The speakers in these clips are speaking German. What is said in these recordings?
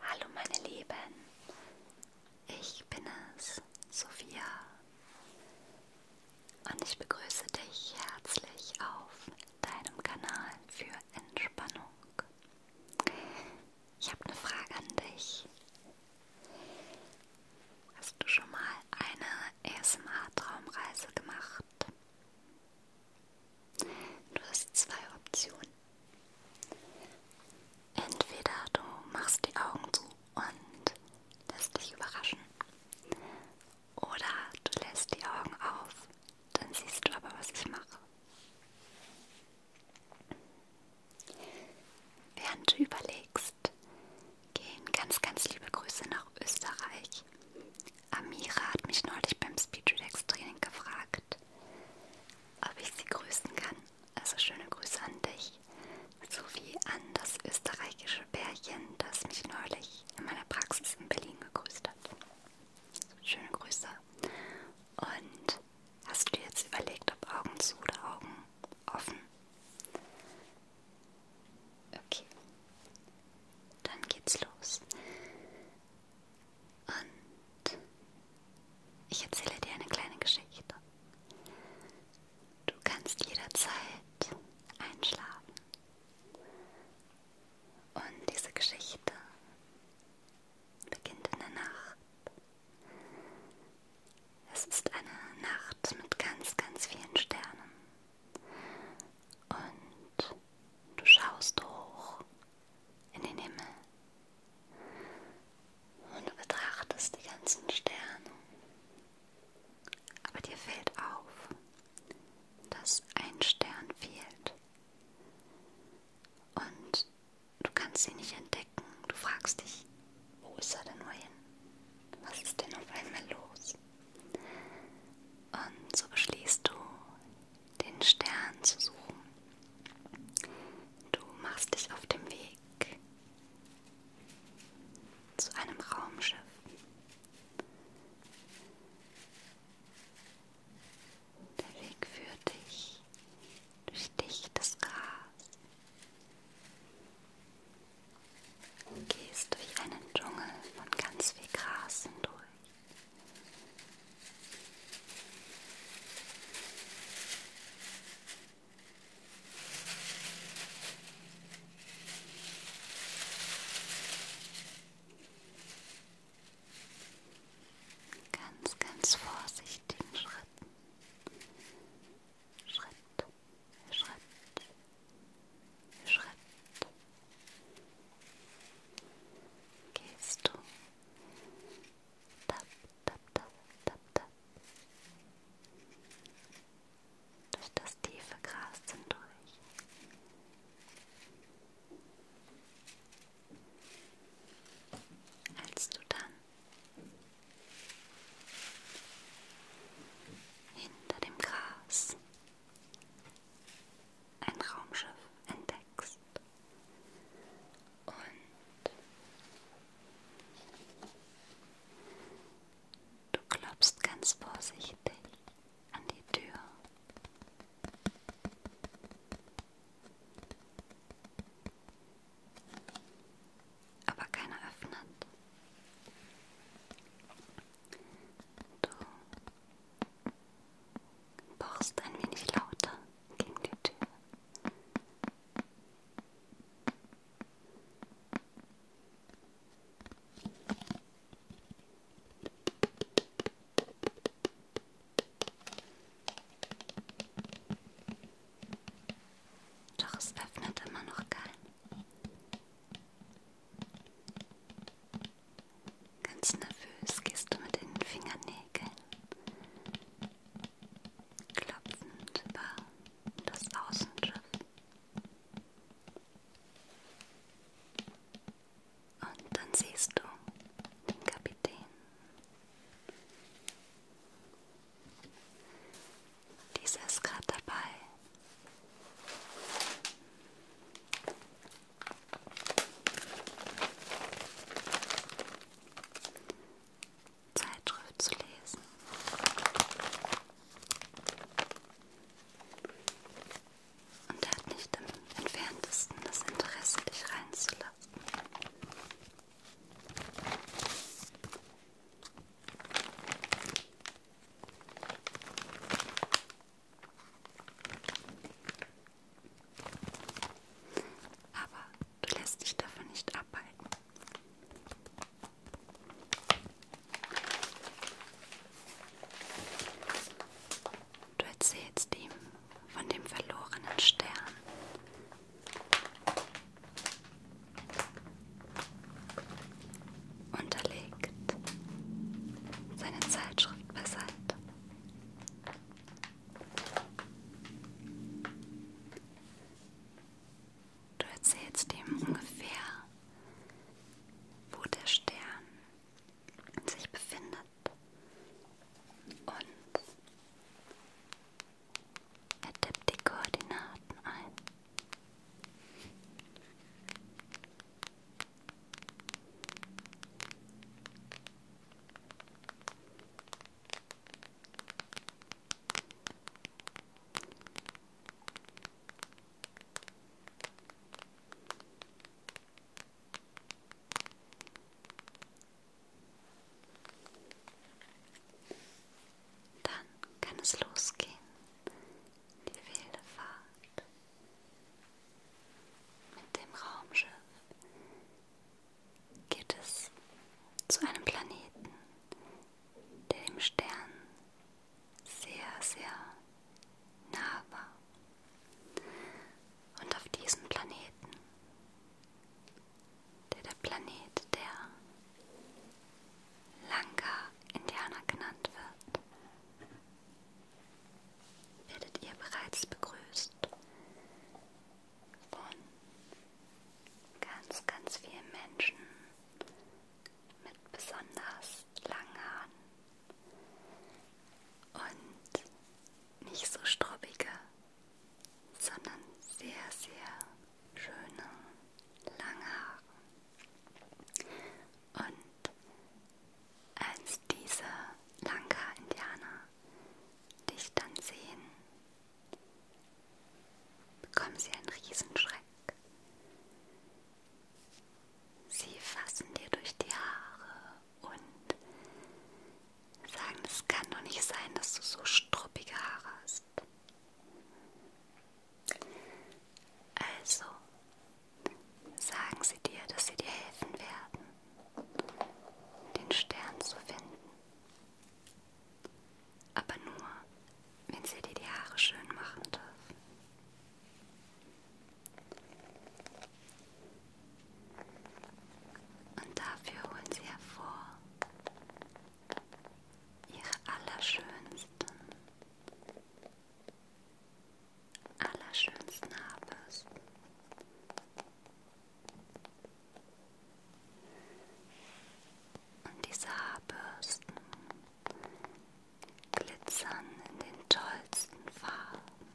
Hallo meine Lieben, ich bin es, Sophia, und ich begrüße dich herzlich auf deinem Kanal für Entspannung. Ich habe eine Frage an dich. Hast du schon mal eine ASMR-Traumreise gemacht? Du hast zwei Optionen. Entweder du machst die Augen zu und lässt dich überraschen. Oder du lässt die Augen auf, dann siehst du aber, was ich mache. Während du überlegst, gehen ganz, ganz liebe Grüße nach Österreich. Amira hat mich neulich beim Speedrelax Training gefragt, ob ich sie grüßen kann. Also schöne Grüße an dich, sowie an das österreichische Bärchen, das mich neulich in meiner Praxis in Berlin gegrüßt hat. Schöne Grüße. Und hast du dir jetzt überlegt, ob Augen zu oder Augen offen? Okay, dann geht's los. Und ich erzähle dir eine kleine Geschichte. Du kannst jederzeit einschlafen. Und diese Geschichte beginnt in der Nacht. Es ist eine Nacht mit ganz, ganz vielen Sternen. Und du schaust hoch in den Himmel und du betrachtest die ganzen Sterne. Aber dir fällt auf, dass ein Stern fehlt und du kannst ihn nicht entdecken. Du fragst dich, wo ist er denn nur hin? Was ist denn auf einmal los? Und so beschließt du, den Stern zu suchen. Du machst dich auf dem Weg zu einem Raumschiff. Der Weg führt dich durch dichtes Gras. Du gehst durch einen Dschungel von ganz viel Gras hindurch. Ganz, ganz vorsichtigen Schritten. Schritt, Schritt, Schritt. Gehst du Tap, tap, tap, tap, tap. Durch das tiefe Gras hindurch. Als du dann hinter dem Gras ein Raumschiff entdeckst. Und du klopfst ganz vorsichtig an die Tür. Aber keiner öffnet. Du pochst ein wenig lauter gegen die Tür. Doch es öffnet immer noch keinen. Ganz nervös gehst du mit den Fingernägeln klopfend über das Außenschiff und dann siehst du den Kapitän. Dieser ist gerade dabei, Zeitschrift zu lesen. Und er hat nicht im entferntesten das Interesse, dich reinzulassen. Aber du lässt dich davon nicht abhalten. Du erzählst ihm von dem verlorenen Stern. Und er legt seine Zeitschrift beiseite. Du erzählst ihm ungefähr, wo der Stern sich befindet und er tippt die Koordinaten ein. Dann kann es losgehen, die wilde Fahrt. Mit dem Raumschiff geht es zu einem Planeten, der dem Stern sehr, sehr nah war. Und auf diesem Planeten, der der Planet der Lanka Indianer genannt wird, werdet ihr bereits begrüßt von ganz, ganz vielen Menschen mit besonders langen Haaren und nicht so strubbige, sondern sehr, sehr schöne, lange Haare. Und als diese Lanka-Indianer dich dann sehen, bekommen sie einen Riesenschreck. Sie fassen dir durch die Haare und sagen, es kann doch nicht sein, dass du so struppige Haare hast. Also sagen sie dir, dass sie dir helfen werden den Stern zu finden. Aber nur, wenn sie dir die Haare schön machen darf. Und dafür holen sie hervor ihre allerschönsten allerschönsten Abends. Und diese Haarbürsten glitzern in den tollsten Farben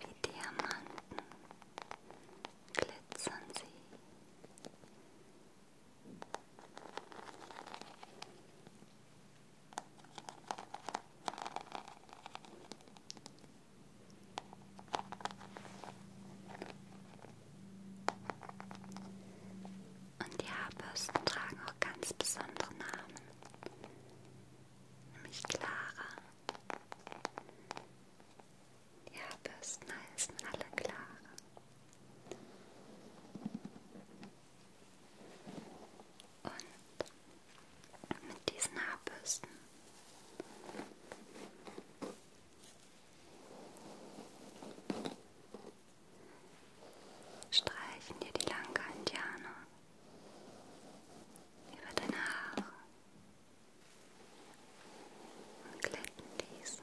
wie Diamanten glitzern sie. Und die Haarbürsten tragen auch ganz besondere Namen, nämlich Clara. Die Haarbürsten heißen alle Clara. Und mit diesen Haarbürsten streichen dir die Lanka-Indianer über deine Haare und glätten diese.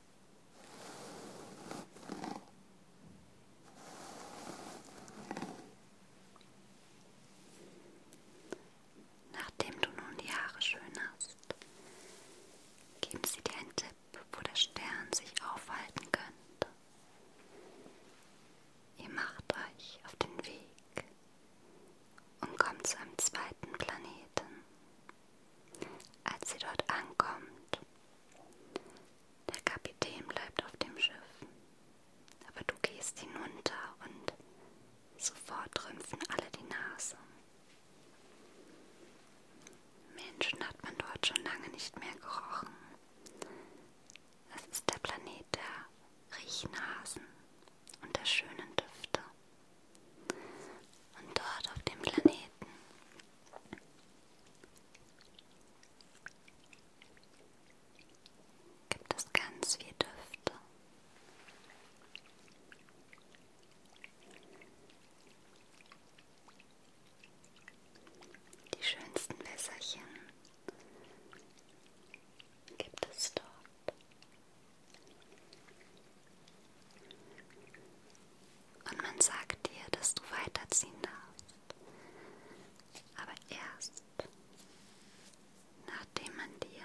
Nachdem du nun die Haare schön hast, geben sie dir einen Tipp, wo der Stern sich aufhalten könnte. Ihr macht euch auf den Weg und kommt zu einem zweiten Planeten. Als sie dort ankommt, der Kapitän bleibt auf dem Schiff, aber du gehst hinunter und sofort rümpfen alle die Nase. Menschen hat man dort schon lange nicht mehr gerochen. Es ist der Planet der Riechnasen und der schönen Düfte. Und dort auf dem Planeten Gibt es ganz viel Düfte. Die schönsten Wässerchen gibt es dort. Und man sagt dir, dass du weiterziehen darfst. Aber erst, nachdem man dir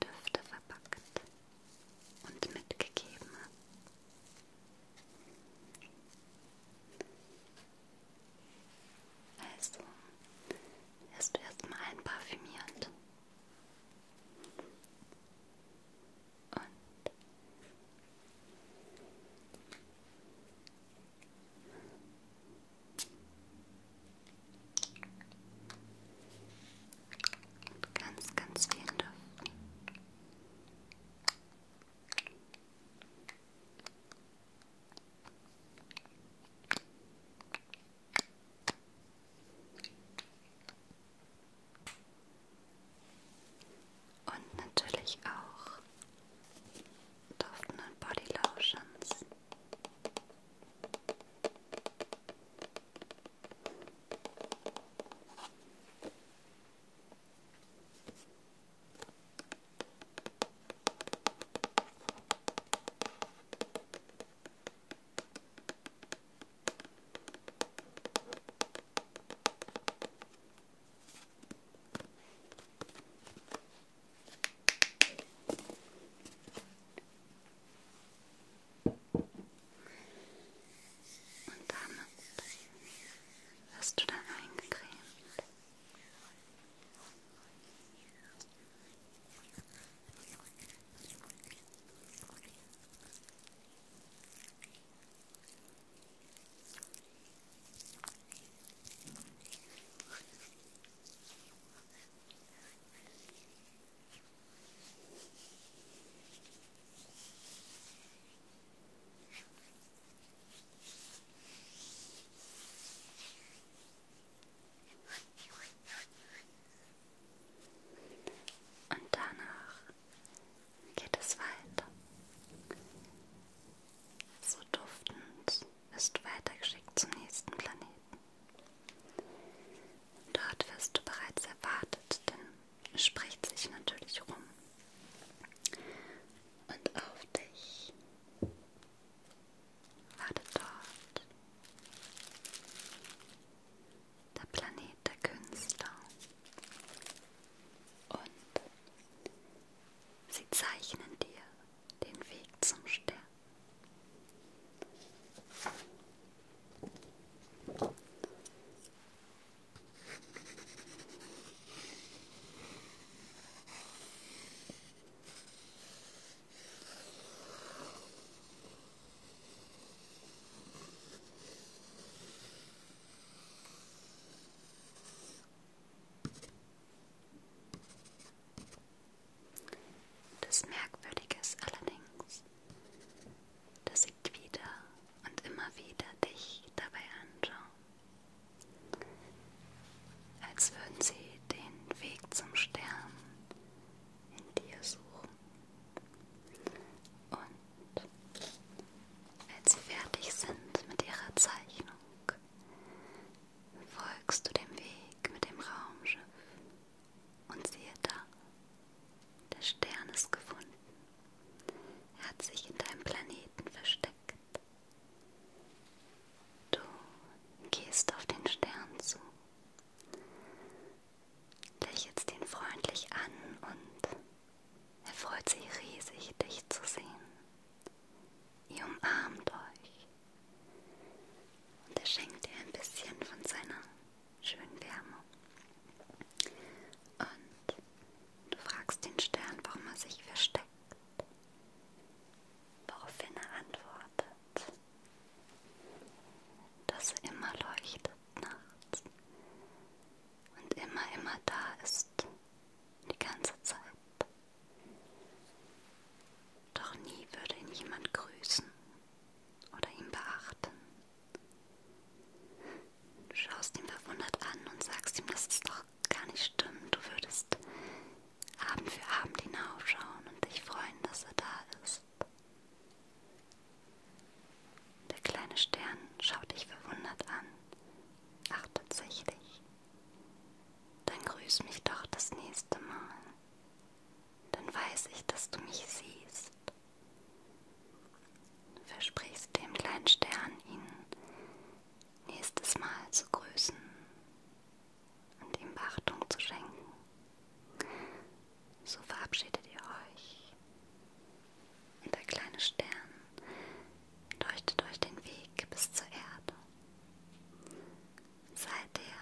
Düfte verpackt und mitgegeben hat. Also, wirst du erstmal einparfümiert und ganz, ganz viel Luft. Und und natürlich auch duftenden Body Lotions. Und damit wirst du dann eingecremt. Und danach geht es weiter. So duftend wirst du weitergeschickt zum nächsten Planeten. Dort wirst du bereits erwartet, denn es spricht sich natürlich rum. Und auf dich wartet dort der Planet der Künstler. Und sie zeichnen dir den Weg zum Stern. Das Merkwürdige ist allerdings, dass sie wieder und immer wieder dich dabei anschauen, als würden sie den Weg zum Stern in dir suchen. Und als sie fertig sind mit ihrer Zeichnung, folgst du dem Weg mit dem Raumschiff und siehe da, der Stern ist gefunden. Er hat sich in deinem Planeten versteckt. Du gehst auf den Stern zu lächelst ihn freundlich an und er freut sich riesig, dich zu sehen. Ihr umarmt euch und er schenkt dir ein bisschen von seiner schönen Wärme. Und du fragst den Stern, warum er sich versteckt, woraufhin er antwortet, dass er immer leuchtet nachts und immer, immer da ist, die ganze Zeit. Doch nie würde ihn jemand grüßen oder ihn beachten. Du schaust ihn verwundert an und sagst ihm, dass es doch gar nicht stimmt. Du würdest Abend für Abend hinaufschauen und dich freuen, dass er da ist. Der kleine Stern schaut dich verwundert an. Ach, tatsächlich. Dann grüß mich doch das nächste Mal. Dann weiß ich, dass du mich siehst. Versprichst dem kleinen Stern, ihn nächstes Mal zu grüßen und ihm Beachtung zu schenken. So verabschiedet ihr euch. Und der kleine Stern leuchtet euch den Weg bis zur Erde. Seid ihr,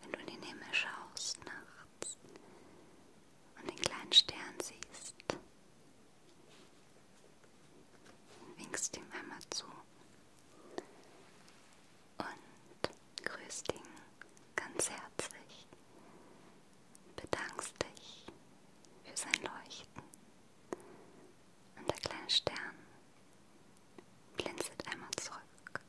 wenn du in den Himmel schaust nachts und den kleinen Stern siehst, winkst ihm einmal zu und grüßt ihn ganz herzlich, bedankst dich für sein Leuchten und der kleine Stern blinzelt einmal zurück.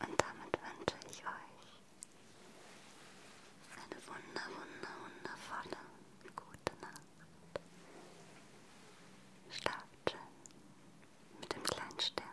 Und damit wünsche ich euch eine wunder, wunder, wundervolle, gute Nacht. Schlaft schön mit dem kleinen Stern.